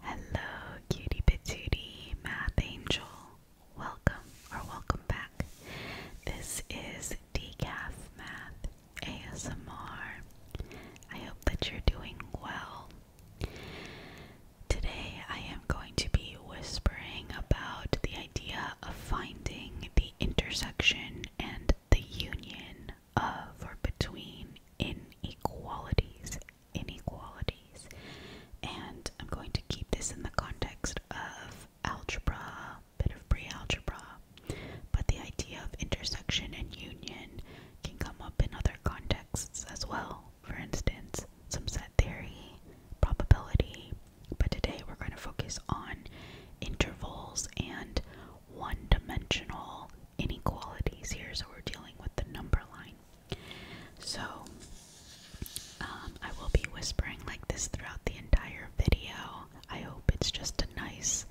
Hello, cutie patootie, math angel. Welcome or welcome back. This is Decaf Math ASMR. I hope that you're doing well. Today I am going to be whispering about the idea of finding the intersection and the union of or between inequalities inequalities. And I'm going to keep this in the context of algebra, bit of pre-algebra, but the idea of intersection and union can come up in other contexts as well. For instance, some set theory, probability, but today we're going to focus on intervals and one-dimensional inequalities here, so we're dealing with the number line so, um, I will be whispering like this throughout the entire video. I hope it's just a nice,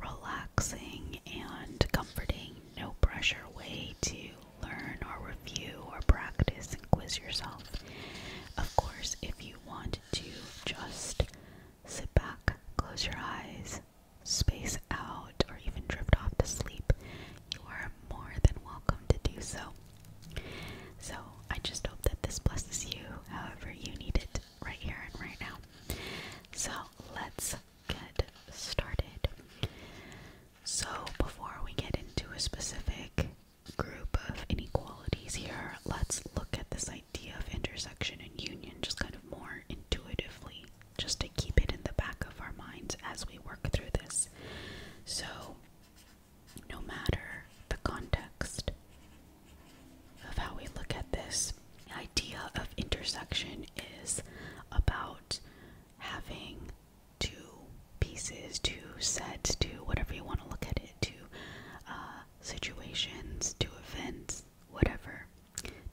relaxing, and comforting, no pressure way to learn or review or practice and quiz yourself. Of course, if you want to just sit back, close your eyes, space out, or even drift off to sleep, you are more than welcome to do so. So, I just hope that this blesses you however you need it right here and right now. So, let's get started. So, before we get into a specific group of inequalities here, let's look at this idea of intersection and union just kind of more intuitively just to keep it in the back of our minds as we work through this. So, no matter the context of how we look at this, the idea of intersection is about having two pieces, two sets, two whatever you want to look at it, two uh, situations, two events, whatever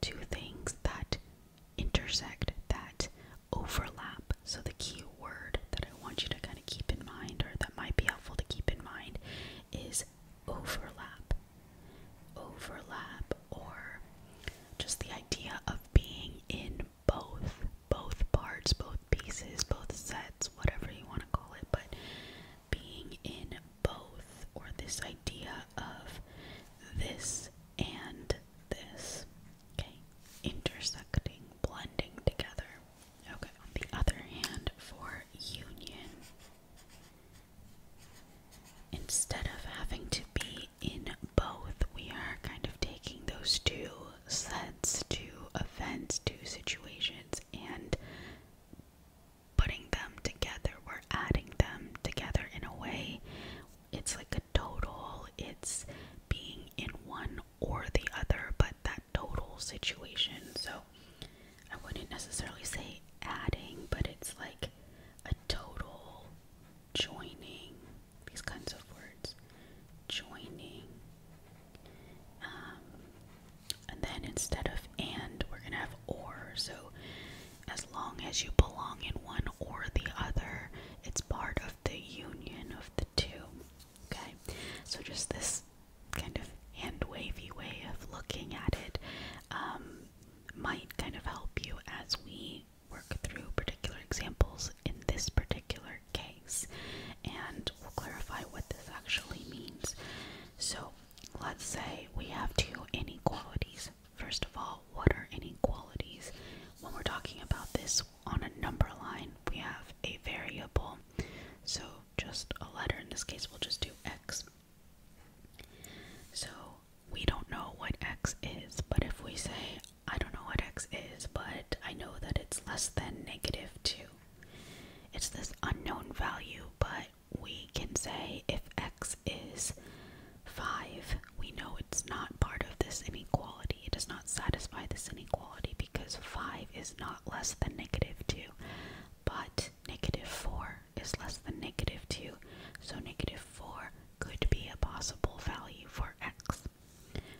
two things that intersect, that overlap. So, the key word that I want you to kind of keep in mind, or that might be helpful to keep in mind, is overlap. Overlap, or just the idea of being in both, both parts, both pieces, both sets, whatever you want to call it, but being in both, or this idea of this and this. intersecting, blending together. Okay, on the other hand, for union, instead of having to be in both, we are kind of taking those two sets, two events, two situations, and putting them together. We're adding them together in a way it's like a total, it's being in one or the other, but that total situation. So I wouldn't necessarily say adding, but it's like a total joining, these kinds of words. Joining. Um, and then instead of and, we're going to have or. So as long as you belong in one or the other, it's part of the union of the two. Okay? So, just this kind of hand wavy way of looking at it um, might kind of help you as we work through particular examples in this particular case. And we'll clarify what this actually means. So, let's say we have two inequalities First of all, what are inequalities? When we're talking about this on a number line, we have a variable. So just a letter, in this case, we'll just do x. So we don't know what x is, but if we say, I don't know what x is, but I know that it's less than negative 2, it's this unknown value, but we can say if x is Five, we know it's not part of this inequality. It does not satisfy this inequality because 5 is not less than negative 2, but negative 4 is less than negative 2, so negative 4 could be a possible value for x.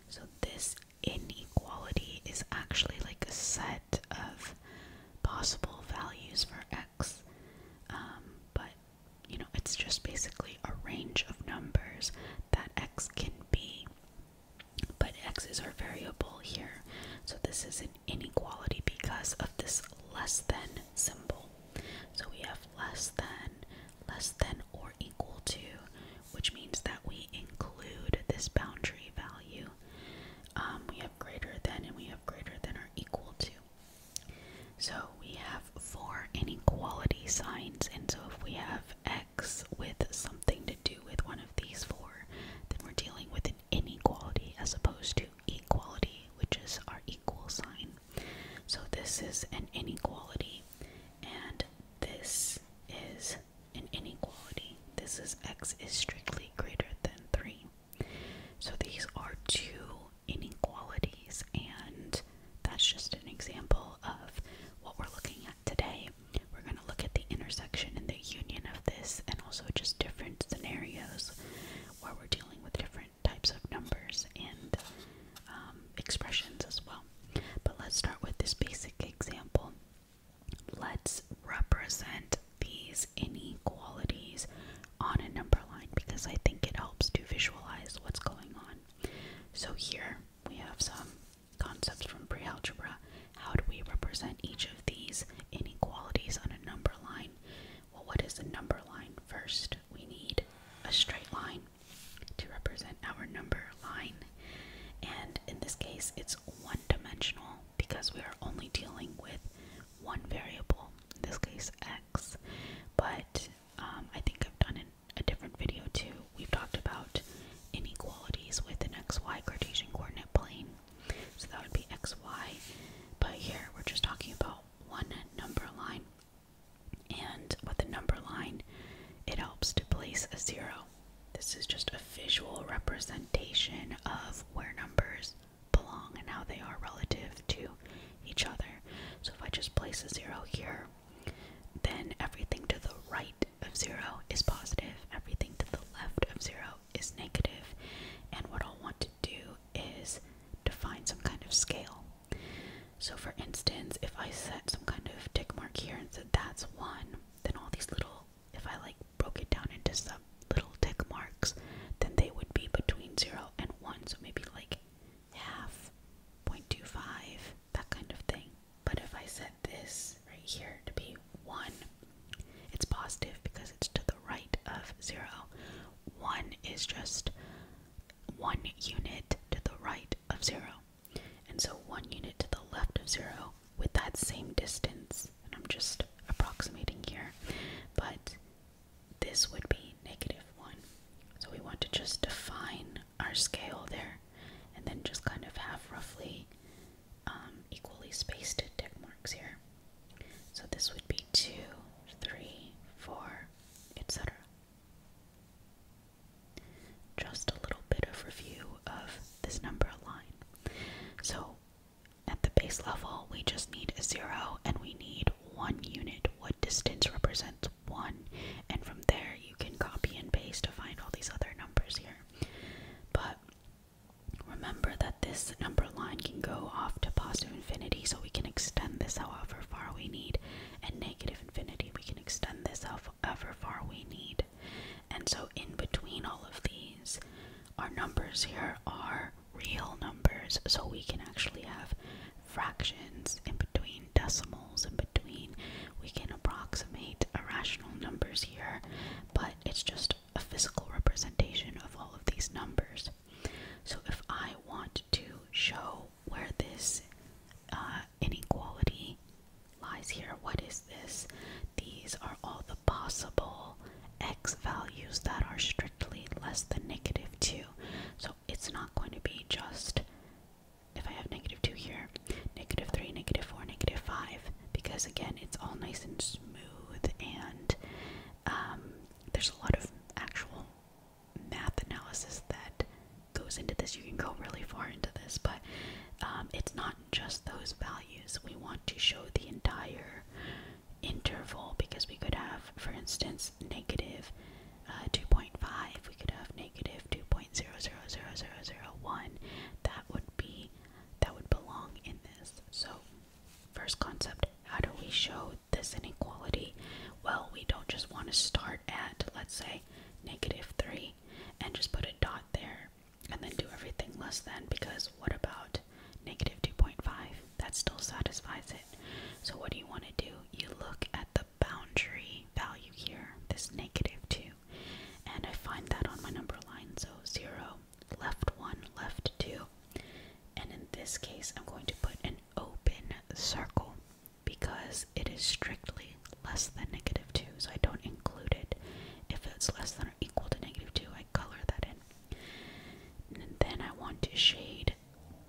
So this inequality is actually like a set of possible values for x, um, but you know, it's just basically a range of numbers that x can be. But x is our variable here, so this is an inequality because of this less than symbol. So we have less than, less than or equal to, which means that we include this boundary value. Um, we have greater than and we have greater than or equal to. So we have four inequality signs, and so if we have x with something to do with one of these four, then we're dealing with an inequality as opposed to equality, which is our equal sign. So this is an inequality, and this is an inequality. This is x is strictly greater than 3. So these are two inequalities, and that's just an example of what we're looking at today. We're going to look at the intersection and the union of this, and also just different scenarios where we're dealing with different types of numbers and um, expressions as well. But let's start with this basic example. Let's represent these inequalities on a number line because I think it helps to visualize what's going on. So here we have some concepts from pre-algebra. How do we represent each of these inequalities on a number line? Well, what is a number line? First, we need a straight line to represent our number line. And in this case, it's one-dimensional because we are only dealing with one variable, in this case, x. But um, I think I've done a different video too, we've talked about inequalities with an xy Cartesian coordinate plane. So that would be xy, but here we're just talking about one number line. And with the number line, it helps to place a zero. This is just a visual representation of where numbers belong and how they are relative to each other. So if I just place a zero here, then everything to the right of zero is positive, everything to the left of zero is negative, and what I'll want to do is define some kind of scale. So for instance, if I set some kind of tick mark here and said that's one, then all these little, if I like broke it down into some little tick marks, then they would be between zero and one, so maybe like half, 0.25, that kind of thing. But if I set this right here to be 1, it's positive because it's to the right of 0. 1 is just 1 unit to the right of 0. And so 1 unit to the left of 0 with that same distance, and I'm just approximating here, but this would be negative 1. So we want to just define our scale there and then just kind of have roughly um, equally spaced tick marks here. So this would be two, three, four, etc. Just a little bit of review of this number line. So at the base level, we just need a zero and we need one unit, what distance represents one, and from there you can copy and paste to find all these other numbers here. But remember that this number line can go off to positive infinity, so we can extend this however far we need, and negative infinity, we can extend this however far we need. And so, in between all of these, our numbers here are real numbers, so we can actually have fractions in between decimals and between, we can approximate irrational numbers here, but it's just a physical representation of all of these numbers. So if I want to show where this uh, inequality lies here, what is this? These are all the possible x values that are strictly less than negative 2. So it's not going to be just if I have negative 2 here, negative 3, negative 4, negative 5, because again, it's all nice and smooth, and um, there's a lot of actual math analysis that goes into this. You can go really far into this, but um, it's not just those values. We want to show the entire interval because we could have, for instance, negative uh, 2.5, we could have negative 2.0000001. That would be, that would belong in this. So, first concept, how do we show this inequality? Well, we don't just want to start at, let's say, negative 3 and just put a dot there and then do everything less than because what about negative 2.5? That still satisfies it. So, what do you want to do? You look at the boundary value here, this negative 2. And I find that on my number line. So 0, left 1, left 2. And in this case, I'm going to put an open circle because it is strictly less than negative 2. So I don't include it. If it's less than or equal to negative 2, I color that in. And then I want to shade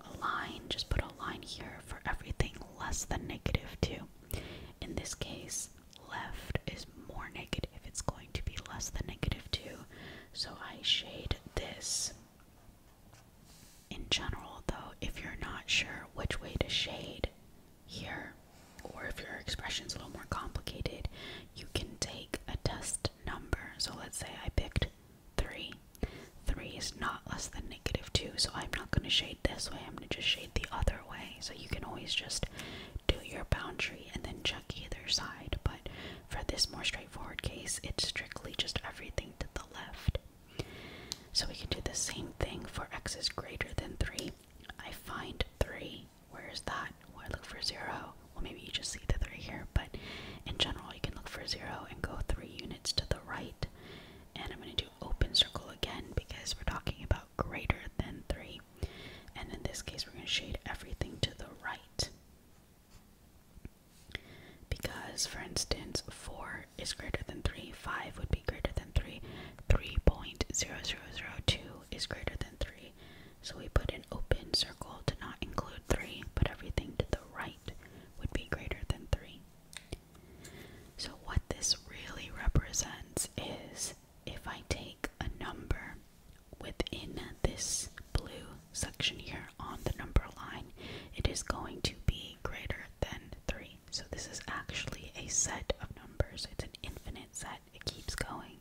a line, just put a line here for everything less than negative 2. In this case, left is more negative, it's going to be less than negative 2. So I shade this. In general, though, if you're not sure which way to shade here, or if your expression is a little more complicated, you can take a test number. So let's say I picked 3. 3 is not less than negative 2, so I'm not going to shade this way, I'm going to just shade the other way. So you can always just do your boundary and then check either side, but for this more straightforward case, it's strictly just everything to the left. So we can do the same thing for x is greater than 3. I find 3. Where is that? Well, I look for 0. Well, maybe you just see the 3 here, but in general, you can look for 0 and go 3 units to the right. And I'm going to do open circle again because we're talking about greater than 3. And in this case, we're going to shade everything to the right. Because, for instance, 4 is greater than 3, 5 would be greater than 3, 3.0002 is greater than 3. So we put an open circle to not include 3, but everything to the right would be greater than 3. So, what this really represents is if I take a number within this blue section here on the number line, it is going to be greater than 3. So, this is actually a set of numbers, it's an infinite set, it keeps going,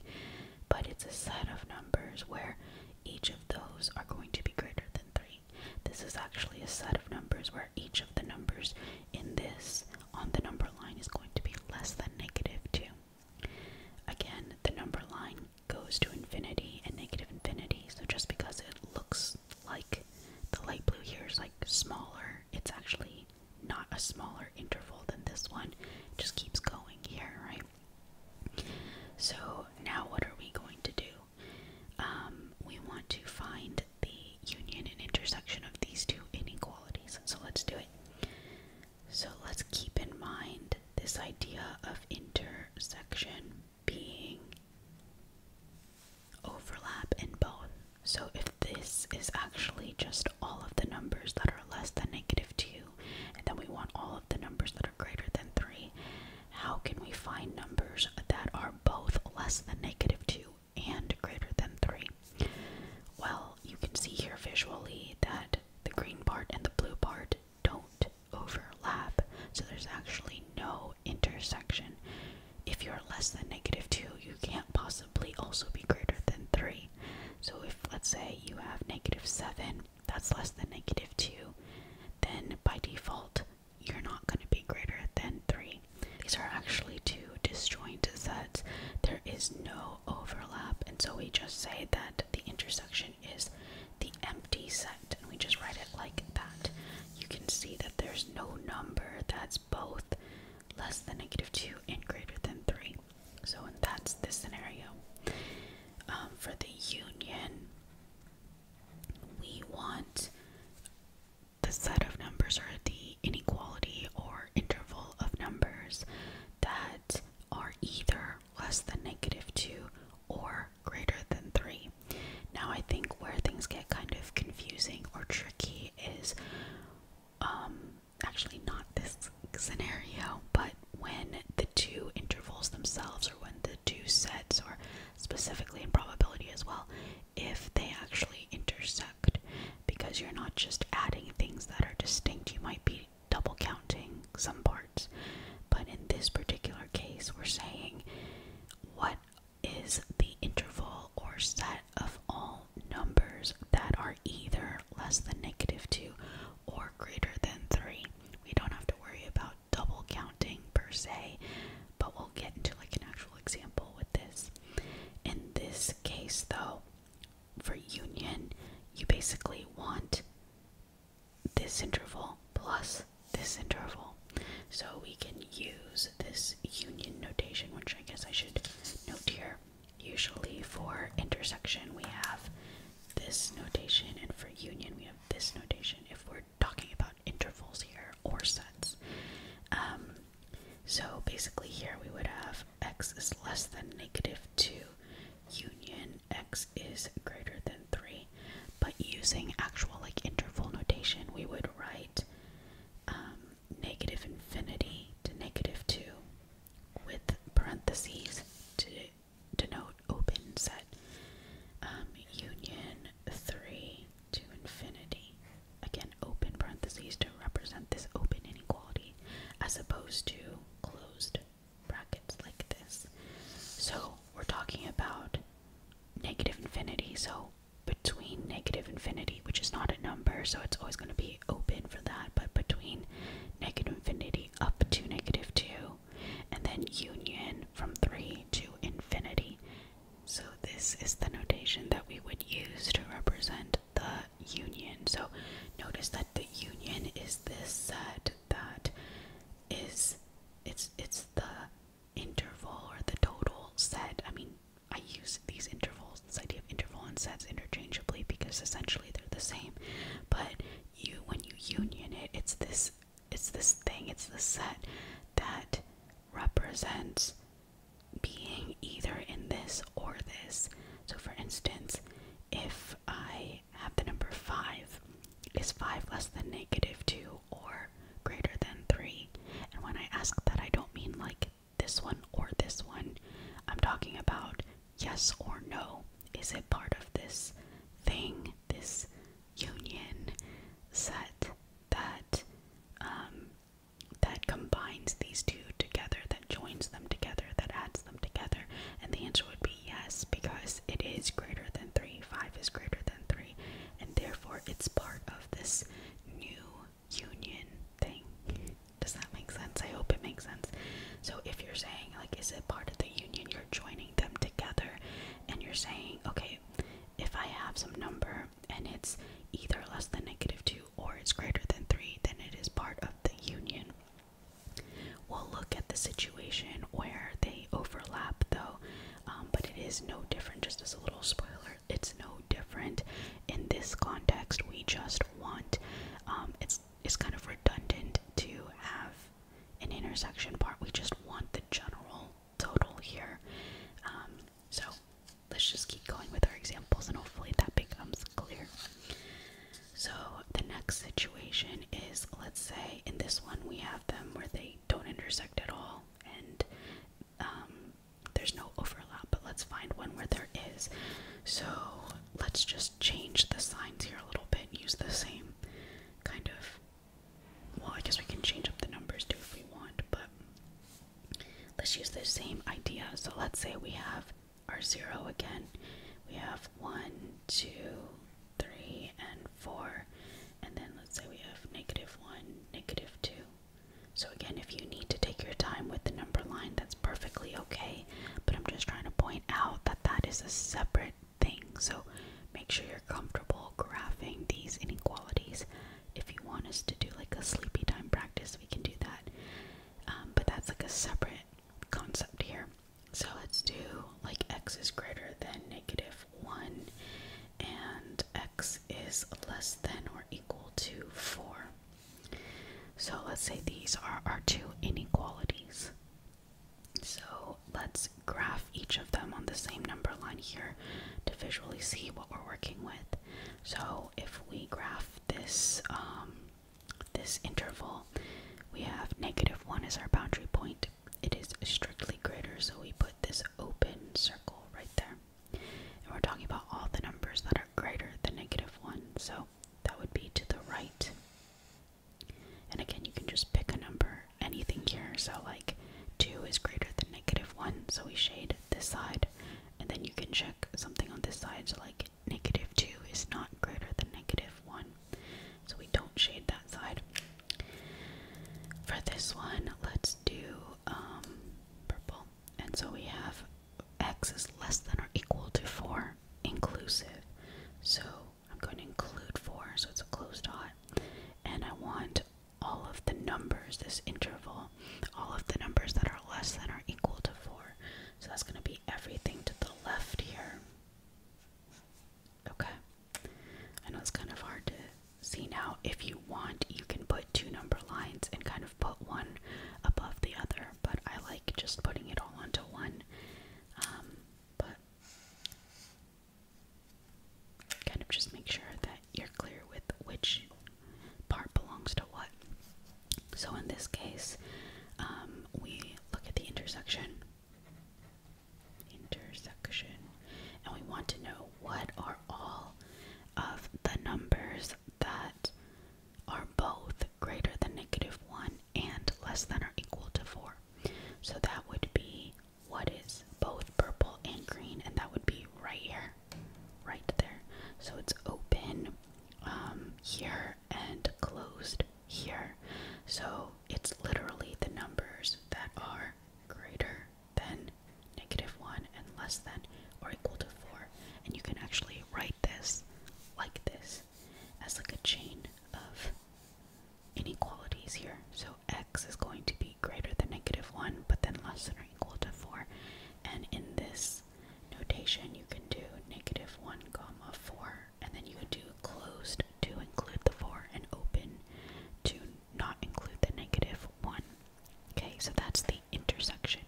but it's a set of numbers where each of those are going to be greater than 3. This is actually a set of numbers where each of the numbers in this on the number line is going to be less than negative 2. Again, the number line goes to infinity and negative infinity, so just because it looks like the light blue here is like smaller, it's actually not a smaller interval than this one. It just keeps going here, right? So now what are we going to do? Um, we want to find the union and intersection of these two inequalities. So let's do it. So let's keep in mind this idea of intersection being overlap in both. So if this is actually just all of the numbers that are less than negative 2, and then we want all of the numbers that are greater than 3, how can we find numbers that are both less than negative 2 and greater than 3? Well, you can see here visually that the green part and the blue part don't overlap, so there's actually no intersection. If you're less than negative 2, you can't possibly also be greater than 3. So if, let's say, you have negative 7, that's less than negative 2, then by default, you're not going to be greater than 3. These are actually two disjoint sets. There is no overlap, and so we just say that the intersection is the empty set, and we just write it like that. You can see that there's no number that's both less than negative 2 and greater than 3. So that's the scenario. Um, for the union, we want the set of numbers or the inequality or interval of numbers that are either less than negative 2 or greater than 3. Now, I think where things get kind of confusing or tricky is um, actually not this scenario, but when the two intervals themselves, or when the two sets, or specifically in probability as well, if they actually intersect. Because you're not just adding things that are distinct, you might be double counting some parts. But in this particular case, we're saying what is the interval or set of all numbers that are either less than negative 2 or greater than 3. We don't have to worry about double counting per se, but we'll get into like an actual example with this. In this case, though, for union, you basically want this interval plus this interval. So we can use this union notation, which I guess I should note here. Usually for intersection, we have this notation, and for union, we have this notation. If we're talking about intervals here or sets. Um, so basically, here we would have x is less than negative 2 union x is greater than 3. But using actual like interval notation, we would write um, negative infinity to negative 2 with parentheses to denote open set um, union 3 to infinity, again open parentheses to represent this open inequality, as opposed to closed brackets like this. So we're talking about negative infinity, so between negative infinity, which is not a number, so it's always going to be open for that, but between negative infinity up to negative 2, and then union from 3 to infinity, so this is the notation that we would use to represent the union. So notice that the union is this set that is it's it's the interval or the total set. I mean, I use these intervals, this idea of interval and sets interchangeably because essentially they're the same. But you when you union it, it's this it's this thing, it's the set that represents being either in this or this. So, for instance, if I have the number 5, is 5 less than negative 2 or greater than 3? And when I ask that, I don't mean like this one or this one. I'm talking about yes or no. Is it part of this thing, this union set that um, that combines these two together, that joins them together, that adds them together? And the answer would be yes, because it is greater than three. Five is greater than three, and therefore it's part of this new union thing. Does that make sense? I hope it makes sense. So if you're saying like, is it part of the union? You're joining them together, and you're saying, okay, if I have some number and it's either less than negative 2 or it's greater than 3, then it is part of the union. We'll look at the situation where they overlap though, um, but it is no different, just as a little spoiler, it's no different. In this context, we just want, um, it's, it's kind of redundant to have an intersection part, we just want the general total here. Um, so let's just keep going with our examples and hopefully that becomes clear. So the next situation is let's say in this one we have them where they don't intersect at all and um, there's no overlap, but let's find one where there is. So let's just change the signs here a little bit, and use the same kind of well, I guess we can change up the numbers too if we want, but let's use the same idea. So let's say we have our zero again. We have one, two, three, and four. And then let's say we have negative one, negative two. So again, if you need to take your time with the number line, that's perfectly okay. But I'm just trying to point out that that is a separate thing. So Make sure you're comfortable graphing these inequalities. If you want us to do like a sleepy time practice, we can do that. Um, but that's like a separate concept here. So let's do like x is greater than negative 1 and x is less than or equal to 4. So let's say these are our two inequalities. So let's graph each of them on the same number line here to visually see what we're working with. So if we graph this um, this interval, we have negative one as our boundary point. It is strictly greater, so we put this open circle right there. And we're talking about all the numbers that are greater than negative one. So that would be to the right. And again, you can just pick a number anything here. So like 2 is greater than negative 1, so we shade this side. And then you can check something on this side, so like negative 2 is not greater than negative 1. So we don't shade that side. For this one, let's do um, purple. And so we have x is less than or equal to 4, inclusive. So I'm going to include 4, so it's a closed dot. And I want all of the numbers, this interval, all of the numbers that are less than or equal to 4. So that's going to be everything to the left here. Okay. I know it's kind of hard to see now. If you want, you can put two number lines and kind of put one above the other, but I like just putting it all onto one. Um, but Kind of just make sure that you're clear with which part belongs to what. So in this case, um, we look at the intersection. Intersection. And we want to know what are all of the numbers that are both greater than negative 1 and less than or equal to 4. So that would be what is both purple and green, and that would be right here, right there. So it's open um, here and closed here. So it's literally the numbers that are greater than negative 1 and less than or equal to 4. And you can actually write this like this as like a chain of inequalities here. So x is going to be greater than negative 1, but then less than or equal to 4. And in this notation, you can do negative 1 comma 4, and then you can do closed to include the 4 and open to not include the negative 1. Okay, so that's the intersection,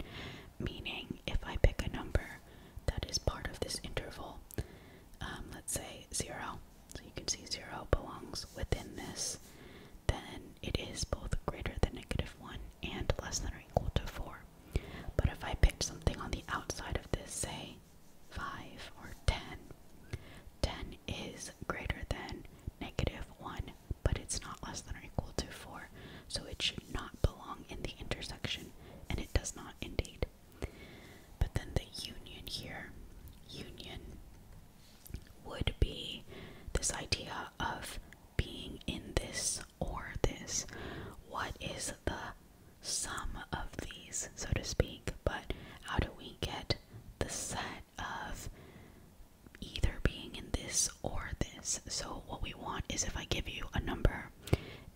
meaning if I pick a number that is part of this interval, um, let's say 0, so you can see 0 belongs within this, then it is both greater than negative 1 and less than or equal to 4. But if I picked something on the outside of this, say 5 or 10, 10 is greater than negative 1, but it's not less than or equal to 4, so it should not belong in the intersection, and it does not indeed. But then the union here, union would be this idea of being in this or this. What is the sum of these, so to speak? But how do we get the set of either being in this or this? So, what we want is if I give you a number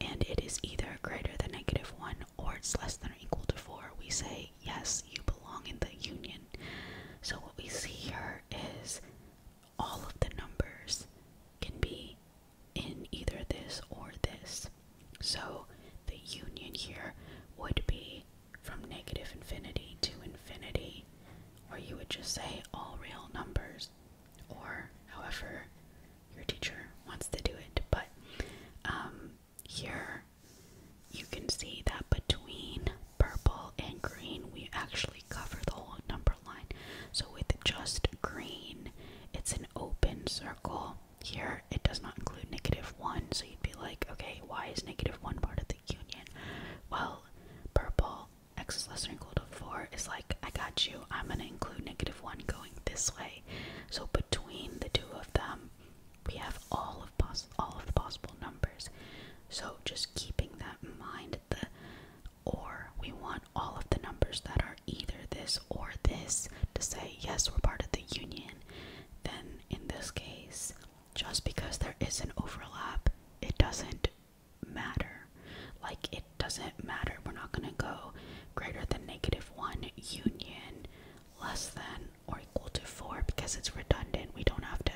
and it is either greater than negative 1 or it's less than or equal to 4, we say yes, you belong in the union. So, what we see here is all of the numbers can be in either this or this. So, the union here would be from negative infinity to infinity, or you would just say all real numbers, or however your teacher wants to do it. But um, here you can see that between purple and green we actually cover the whole number line. So with just green, it's an open circle. Here it does not include negative 1, so you'd be like, okay, why is negative 1 part of the union? Well, purple x is less than or equal to 4 is like, I got you, I'm going to include negative 1 going this way. So between the two of them, we have all of all of the possible numbers. So just keeping that in mind, the or we want all of the numbers that are either this or this to say yes, we're part of the union. Then in this case, just because there is an overlap, it doesn't matter. Like it doesn't matter. We're not gonna go greater than negative one union less than or equal to 4 because it's redundant. We don't have to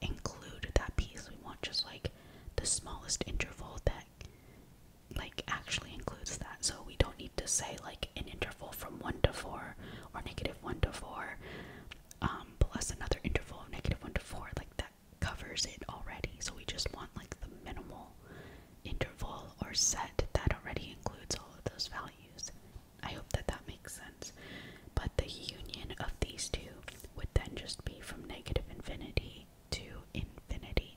include that piece. We want just like the smallest interval that like actually includes that. So we don't need to say like an interval from 1 to 4 or negative 1 to 4 um, plus another interval of negative 1 to 4. Like that covers it already. So we just want like the minimal interval or set that already includes all of those values I hope that that makes sense. But the union of these two would then just be from negative infinity to infinity.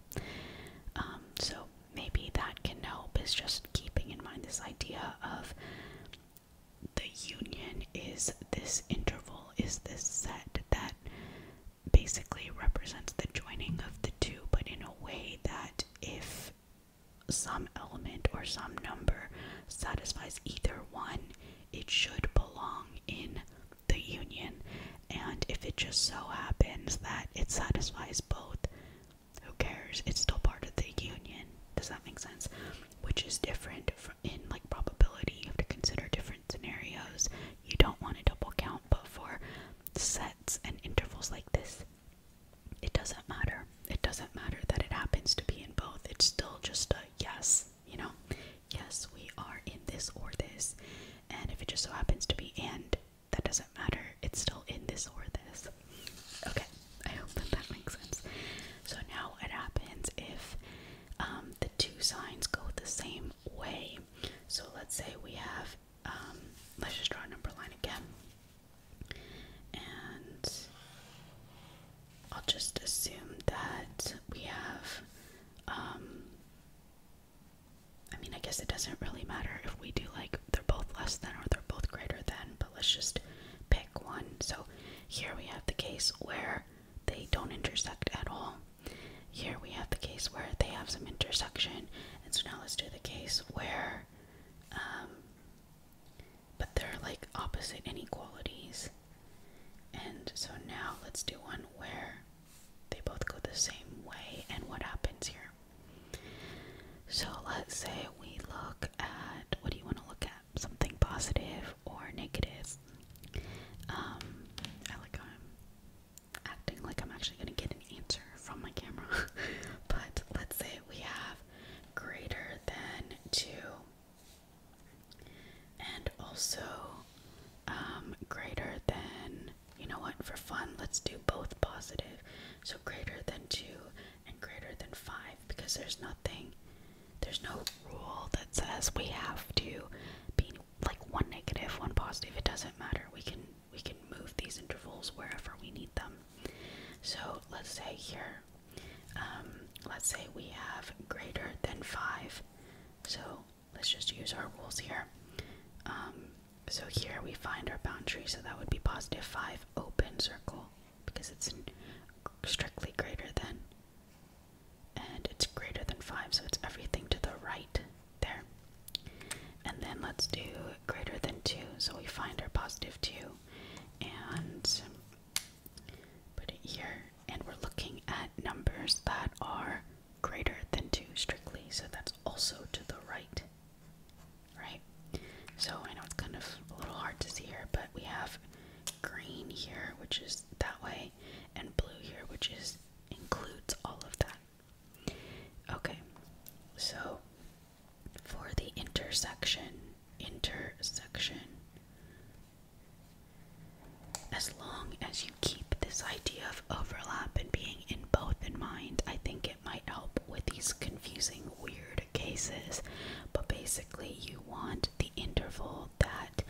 Um, so maybe that can help, is just keeping in mind this idea of the union is this interval, is this set that basically represents the joining of the two, but in a way that if some element or some number satisfies either one, it should belong in the union. And if it just so happens that it satisfies both, who cares? It's still part of the union. Does that make sense? Which is different in like probability. You have to consider different scenarios. You don't want to double count, but for sets and intervals like this, it doesn't matter. It doesn't matter that it happens to be in both. It's still just a yes, you know? Yes, we are in this or this. And if it just so happens to be and, that doesn't matter. It's still in this or this. Okay, I hope that that makes sense. So now what happens if um, the two signs go the same way? So let's say we have, um, let's just draw a number line again. And I'll just assume that we have, um, I mean, I guess it doesn't really matter if we do like they're both less than or they're both greater than, but let's just pick one. So here we have the case where they don't intersect at all. Here we have the case where they have some intersection. And so now let's do the case where um, but they're like opposite inequalities. And so now let's do one where they both go the same way and what happens here. So let's say we look at what do you want to look at? Something positive or negative. Um, I like I'm acting like I'm actually going to get an answer from my camera. but let's say we have greater than 2 and also um, greater than you know what for fun let's do both positive so greater than 2 and greater than 5 because there's nothing there's no rule that says we have to be like one negative one positive it doesn't matter we can we can move these intervals wherever we need them so let's say here, um, let's say we have greater than 5. So let's just use our rules here. Um, so here we find our boundary, so that would be positive 5 open circle because it's strictly greater than. And it's greater than 5, so it's everything to the right there. And then let's do greater than 2, so we find our positive 2 and put it here. And we're looking at numbers that are greater than 2 strictly, so that's also to the right, right? So I know it's kind of a little hard to see here, but we have green here, which is that way, and blue here, which is includes all of that. Okay, so for the intersection. Intersection. As long as you keep this idea of overlap and being in both in mind, I think it might help with these confusing, weird cases. But basically, you want the interval that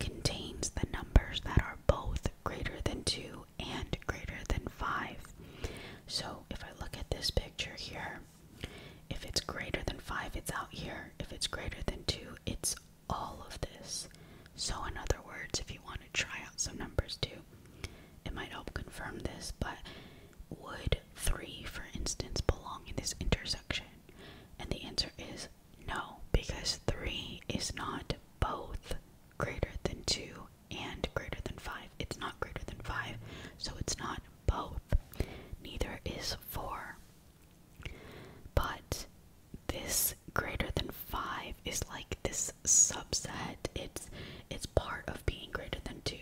contains the numbers that are both greater than 2 and greater than 5. So if I look at this picture here, if it's greater than 5, it's out here. If it's greater than 2, it's all of this. So, in other words, if you want to try out some numbers too, it might help confirm this. But would 3, for instance, belong in this intersection? And the answer is no, because 3 is not both greater than 2 and greater than 5. It's not greater than 5, so it's not both. Neither is 4. But this greater than 5 is like this subset. It's it's part of being greater than 2.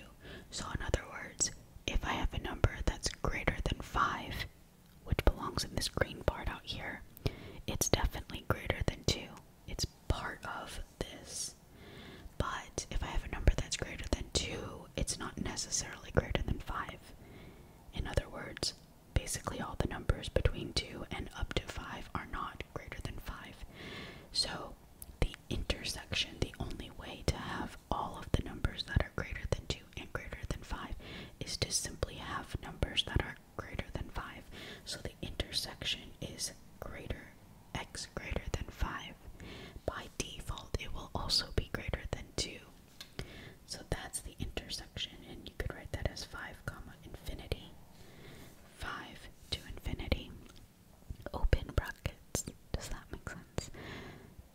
So in other words, if I have a number that's greater than 5, which belongs in this green part out here, it's definitely greater than 2. It's part of this. But if I have a number that's greater than 2, it's not necessarily greater than 5. In other words, basically all the numbers between 2 and up to 5 are not greater than 5. So the intersection, the only way to have all of the numbers that are greater than 2 and greater than 5 is to simply have numbers that are greater than 5. So the intersection is greater x greater than 5, by default it will also be greater than 2. So that's the intersection, and you could write that as 5, comma, infinity. 5 to infinity. Open brackets. Does that make sense?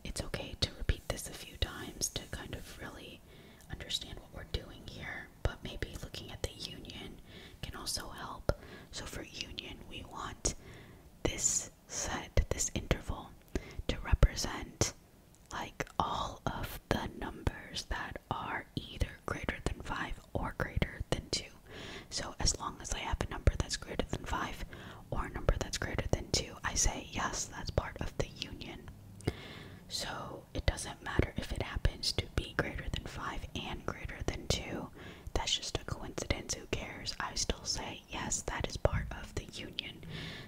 It's okay to repeat this a few times to kind of really understand what we're doing here, but maybe looking at the union can also help. So for union, we want this set this interval to represent like all of the numbers that are either greater than 5 or greater than 2. So as long as I have a number that's greater than 5 or a number that's greater than 2, I say yes, that's part of the union. So it doesn't matter if it happens to be greater than 5 and greater than 2. That's just a coincidence. Who cares? I still say, yes, that is part of the union.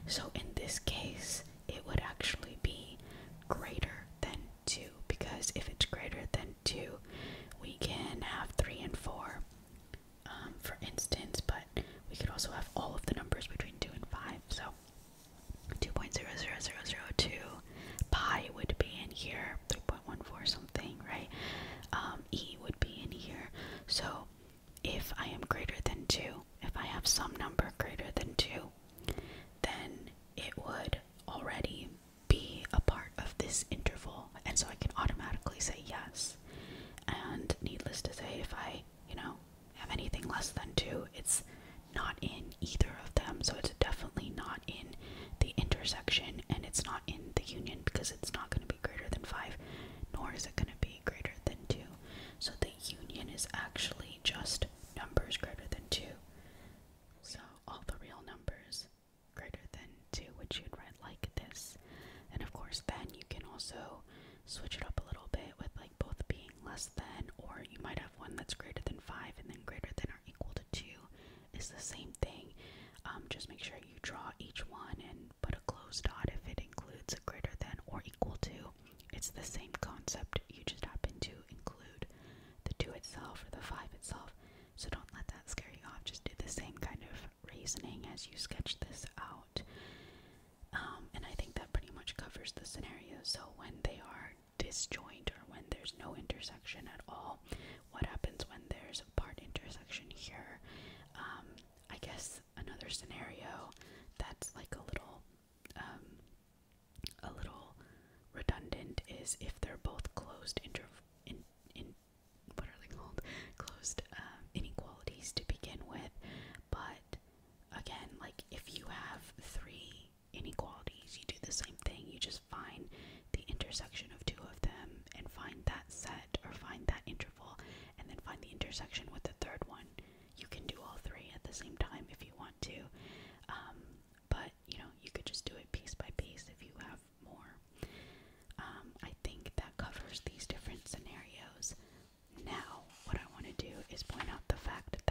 So in this case, it would actually be greater than 2 because if it's greater than 2, we can have 3 and 4, um, for instance, but we could also have all of the numbers between 2 and 5. So 2.00002 pi would be in here, 3.14 something something, right? Um, e would be in here. So if I am greater than 2, if I have some number greater than 2, then it would already be a part of this interval. And so I can automatically say yes. And needless to say, if I, you know, have anything less than 2, it's not in either of them. So it's definitely not in the intersection and it's not in the union because it's not going to be greater than 5, nor is it going to be greater than 2. So the union is actually just numbers greater than 2. So all the real numbers greater than 2, which you'd write like this. And of course, then you can also switch it up a little bit with like both being less than, or you might have one that's greater than 5 and then greater than or equal to 2 is the same thing. Um, just make sure you draw each one and but a closed dot if it includes a greater than or equal to. It's the same concept, you just happen to include the 2 itself or the 5 itself. So don't let that scare you off. Just do the same kind of reasoning as you sketch this out. Um, and I think that pretty much covers the scenarios. So when they are disjoint or when there's no intersection at all, what happens when there's a part intersection here. Um, I guess another scenario that's like a little, um, a little redundant is if they're both closed inter in in what are they called closed um, inequalities to begin with, but again, like if you have three inequalities, you do the same thing. You just find the intersection of two of them and find that set or find that intersection and then find the intersection with the third one. You can do all three at the same time if you want to, um, but you know, you could just do it piece by piece if you have more. Um, I think that covers these different scenarios. Now, what I want to do is point out the fact that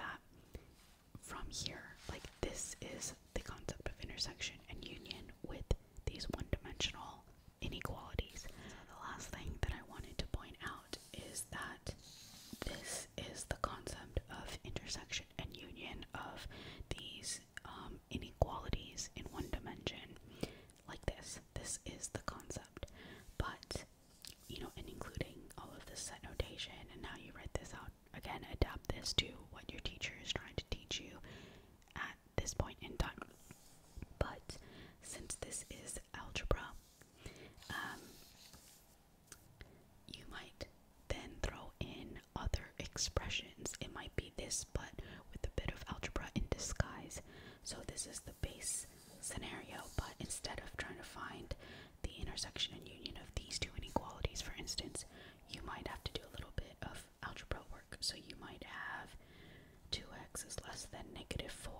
from here, like this is the concept of intersection and union with these one dimensional inequalities. The last thing that I wanted to point out is that this is the concept of intersection and union of these um, inequalities in one dimension, like this. This is the concept, but you know, and including all of this set notation and now you write this out. Again, adapt this to what your teacher is trying to teach you this point in time. But since this is algebra, um, you might then throw in other expressions. It might be this, but with a bit of algebra in disguise. So this is the base scenario, but instead of trying to find the intersection and union of these two inequalities, for instance, you might have to do a little bit of algebra work. So you might have 2x is less than negative 4.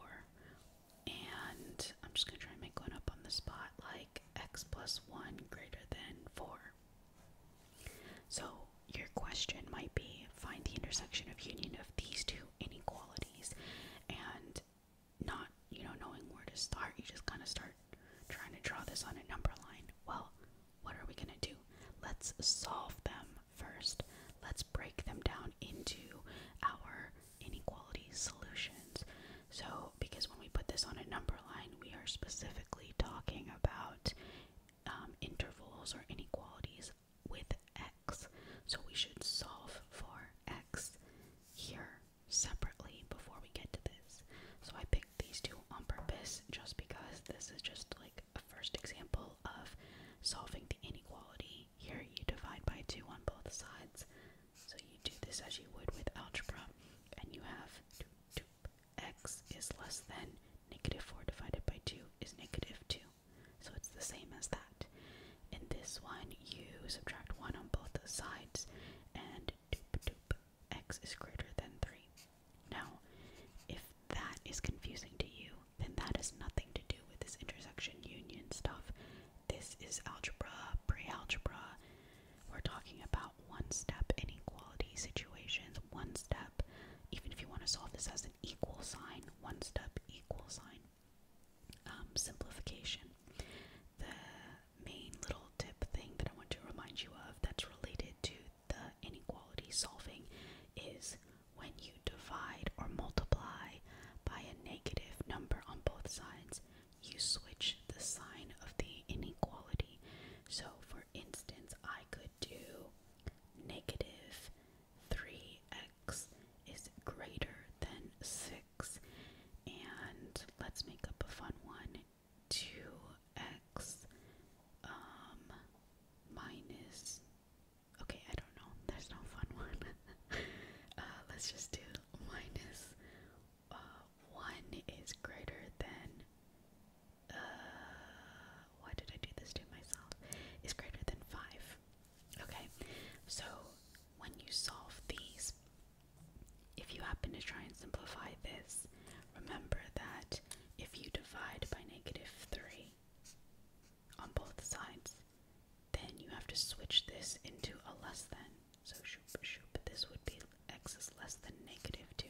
And I'm just going to try and make one up on the spot, like x plus 1 greater than 4. So your question might be find the intersection of union of these two inequalities. And not, you know, knowing where to start, you just kind of start trying to draw this on a number line. Well, what are we going to do? Let's solve them first. Let's break them down into our inequality solutions. So, because when we put this on a number line, we are specifically talking about um, intervals or inequalities with x. So, we should solve for x here separately before we get to this. So, I picked these two on purpose just because this is just like a first example of solving the inequality. Here you divide by 2 on both sides. So you do this as you would with algebra, and you have two, two, x is less than negative 4 divided by 2 is negative 2. So it's the same as that. In this one, you subtract 1 on both sides, and doop doop, x is greater than 3. Now, if that is confusing to you, then that has nothing to do with this intersection union stuff. This is algebra, pre-algebra. We're talking about one-step inequality situations, one step, even if you want to solve this as an equal sign, one step equal sign. Um, simplification. The main little tip thing that I want to remind you of that's related to the inequality solving is when you divide or multiply by a negative number on both sides, you switch the sign of the inequality. So, for instance, I could do negative 3x is greater than 6. And let's make up a fun one 2x minus. Okay, I don't know. There's no fun one. Uh, let's just do minus uh, 1 is greater than. Uh, why did I do this to myself? Is greater than 5. Okay, so when you solve these, if you happen to try and simplify this, remember that if you divide by negative 3, on both sides. Then you have to switch this into a less than. So shoop shoop, this would be x is less than negative 2.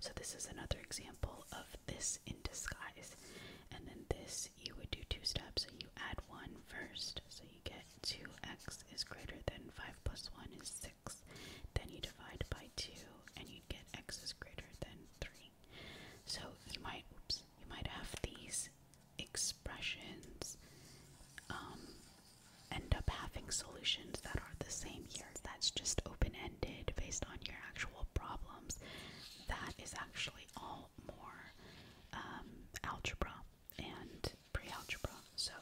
So this is another example of this in disguise. And then this, you would do two steps. So you add 1 first. So you get 2x is greater than 5 plus 1 is 6. Then you divide by 2 and you get x is greater than 3. So you might, oops, you might have these expressions um, end up having solutions that are the same here. That's just open-ended based on your actual problems. That is actually all more um, algebra and pre-algebra. So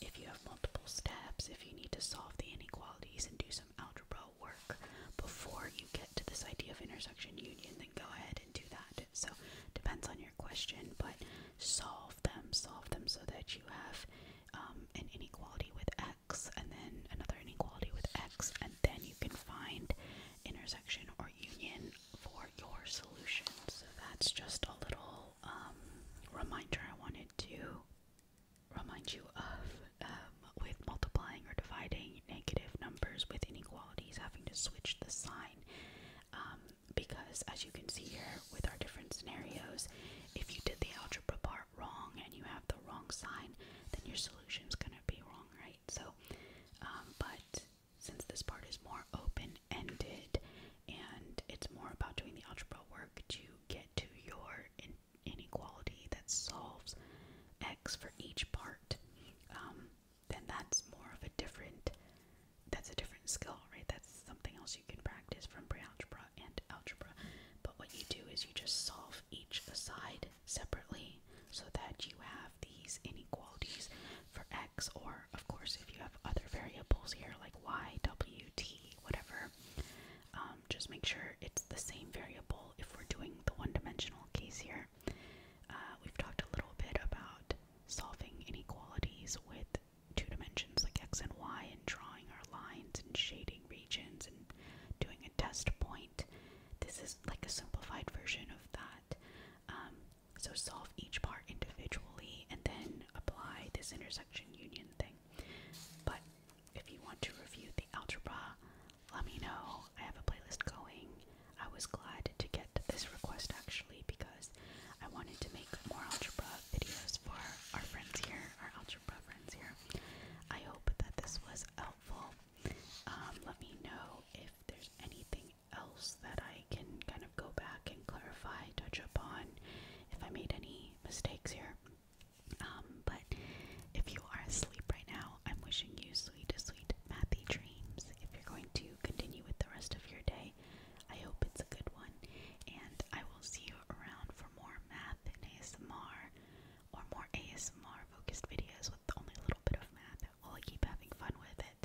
if you have multiple steps, if you need to solve the inequalities and do some algebra work before you get to this idea of intersection union, then go ahead and do that. So, depends on your question, but solve them, solve them so that you have um, an inequality with x, and then another inequality with x, and then you can find intersection or union for your solution. So, that's just a little um, reminder I wanted to remind you of um, with multiplying or dividing negative numbers with inequalities, having to switch the sign. Um, because as you can see here with our different scenarios, if you did the algebra part wrong and you have the wrong sign, then your solution is gonna be wrong, right? So, um, but since this part is more open ended and it's more about doing the algebra work to get to your inequality that solves x for each part, um, then that's more of a different that's a different skill, right? That's something else you can practice from pre-algebra and algebra. But what you do is you just solve each side separately so that you have these inequalities for x or of course if you have other variables here like y, w, t, whatever, um, um, just make sure it's the same variable if we're doing the one-dimensional case here. Uh, we've talked a little bit about solving inequalities with two dimensions like x and y and drawing our lines and shading regions and doing a test point. This is like a simplified version of that. Um, so solve each part individually and then apply this intersection union thing. But if you want to review the algebra, let me know. I have a playlist going. I was glad to get this request actually because I wanted to make more algebra videos for our friends here, our algebra friends here. I hope that this was helpful. Um, let me know if there's anything else that I can kind of go back and clarify, touch upon, if I made any mistakes here. Um, but if you are asleep right now, I'm wishing you sweet, sweet mathy dreams. If you're going to continue with the rest of your day, I hope it's a good one. And I will see you around for more math and ASMR or more ASMR focused videos with only a little bit of math. Well, I keep having fun with it.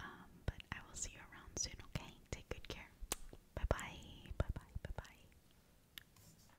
Um, but I will see you around soon, okay? Take good care. Bye bye. Bye bye. Bye bye.